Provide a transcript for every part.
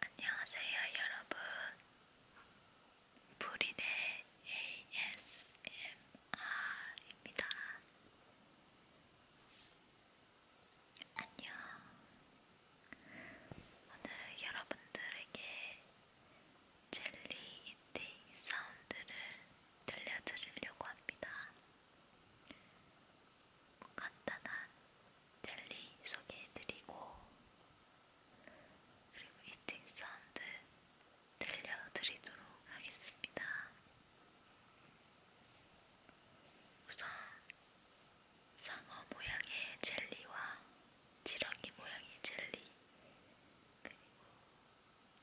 안녕하세요, 여러분. 브리네 ASMR입니다. 안녕. 오늘 여러분들에게 젤리 이팅 사운드를 들려드리려고 합니다. 간단한 젤리 소개해드리고 그리고 이팅 사운드 들려드리도록 하겠습니다. 우선 상어 모양의 젤리와 지렁이 모양의 젤리 그리고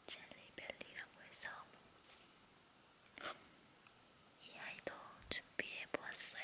젤리벨리라고 해서 이 아이도 준비해 보았어요.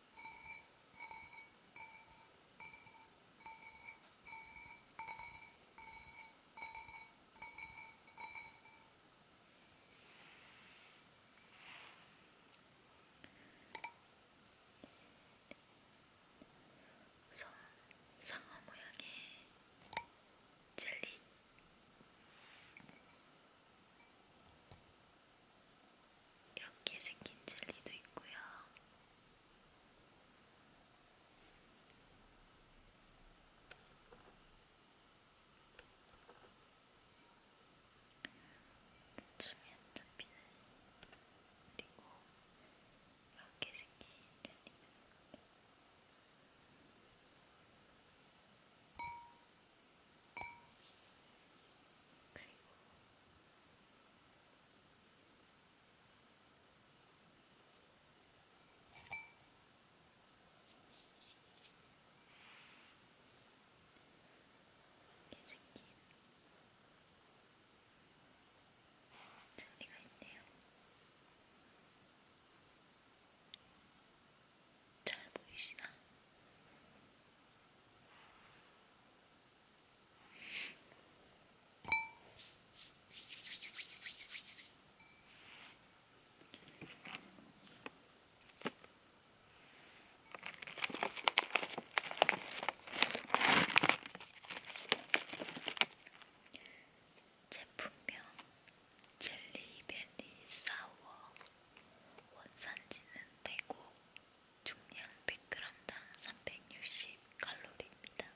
우선 상어 모양의 젤리. 이렇게 생긴 젤리도 있고요. 춤이 안 잡히는 그리고 이렇게 생긴 젤리도 있고요. 그리고 새끼 잔디가 있네요. 잘 보이시나? 제품명 젤리벨리 사워 원산지는 대구 중량 100g당 360칼로리입니다.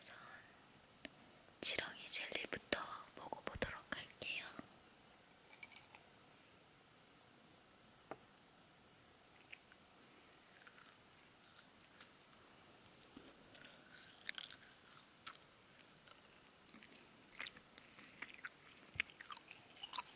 우선 지렁이 젤리부터 먹어보도록 할게요. 음.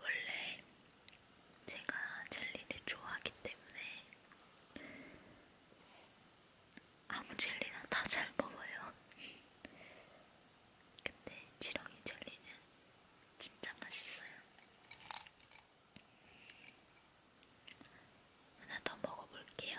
원래 제가 젤리를 좋아하기 때문에 아무 젤리나 다 잘 먹어요. 근데 지렁이 젤리는 진짜 맛있어요. 하나 더 먹어볼게요.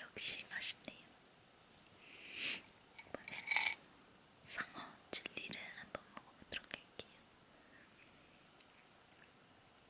역시 맛있네요. 이번에는 상어 젤리를 한번 먹어보도록 할게요.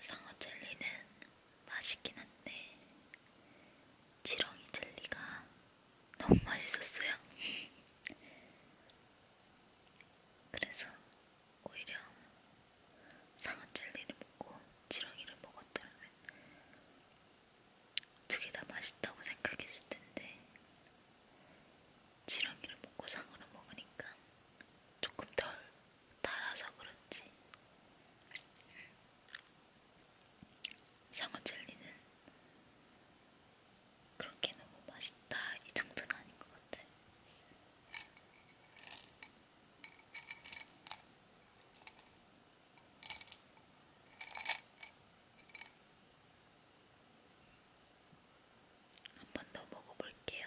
상어 젤리는 맛있긴 한데 지렁이 젤리가 너무 맛있었어요. 그래서 오히려 상어 젤리를 먹고 지렁이를 먹었더라면 두개다 맛있다고 생각했을 텐데 지렁이를 먹고 상어를 먹으니까 조금 덜 달아서 그런지 상어 젤리는 그렇게 너무 맛있다 이 정도는 아닌 것 같아. 한번더 먹어볼게요.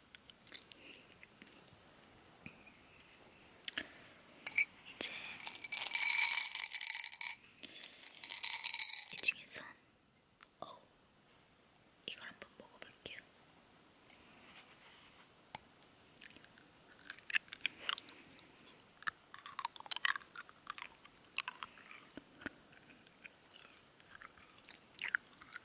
이제 이 중에선 어 이걸 한번 먹어볼게요.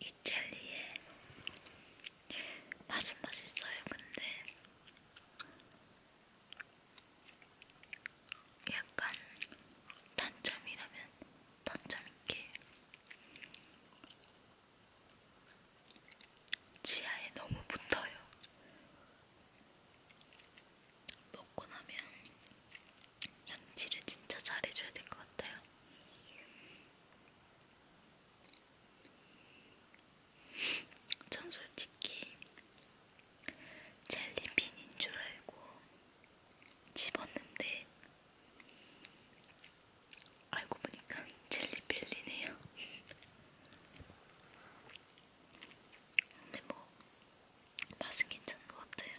이 젤리의 맛은 맛있어요. 근데 약간 단점이라면 단점 있게 치아에 너무 붙어요. 먹고 나면 양치를 진짜 잘해줘야 될 것 같아요. 전 솔직히 젤리빈인 줄 알고 집었는데 알고 보니까 젤리빌리네요. 근데 뭐 맛은 괜찮은 것 같아요.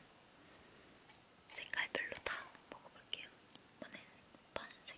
색깔별로 다 먹어볼게요. 이번엔 파란색.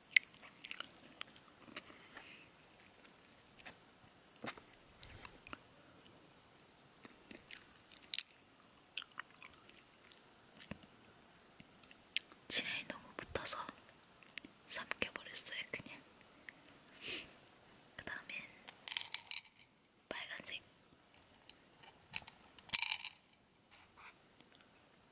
치아에 너무 붙어서 삼켜버렸어요 그냥 그 다음엔 빨간색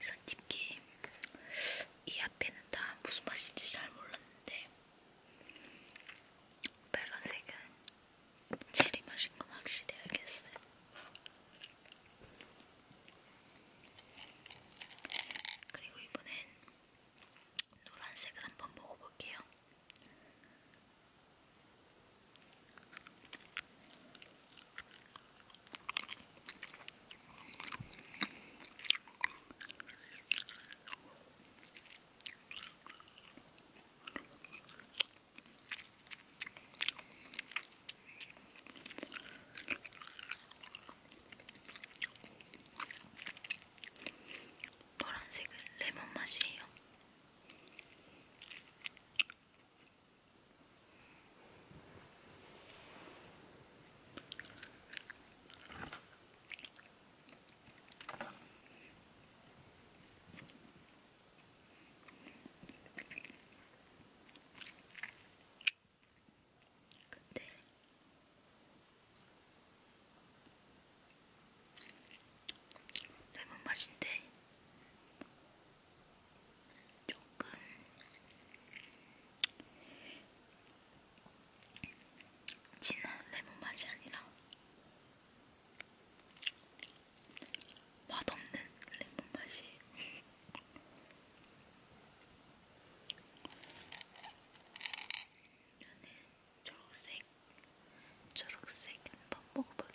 솔직히 이 앞에는 다 무슨 맛인지 잘 몰랐는데 빨간색은 체리 맛인 건 확실히 알겠어요. 그리고 이번엔 노란색을 한번 먹어볼게요. 노란색은 레몬 맛이에요. 근데 레몬 맛인데 조금 진한 레몬 맛이 아니라 맛없는 레몬 맛이 저는 초록색, 초록색 한번 먹어볼게요.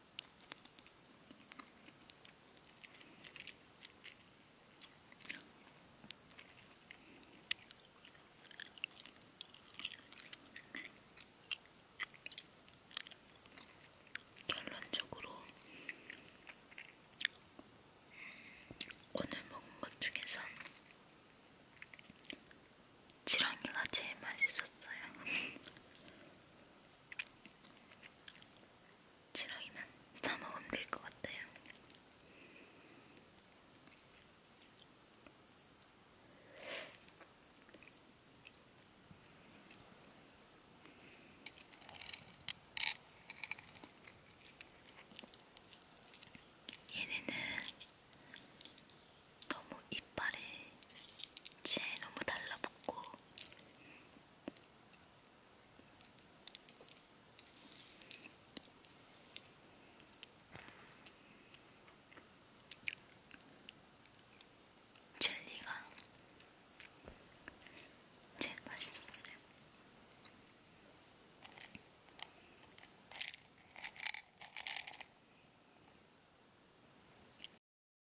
결론적으로 오늘 먹은 것 중에서 지렁이가 제일 맛있었어요. 지렁이만 사 먹으면 될것 같아요. 얘네는 너무 이빨에 치아에 너무 달라붙고 젤리가 제일 맛있었어요.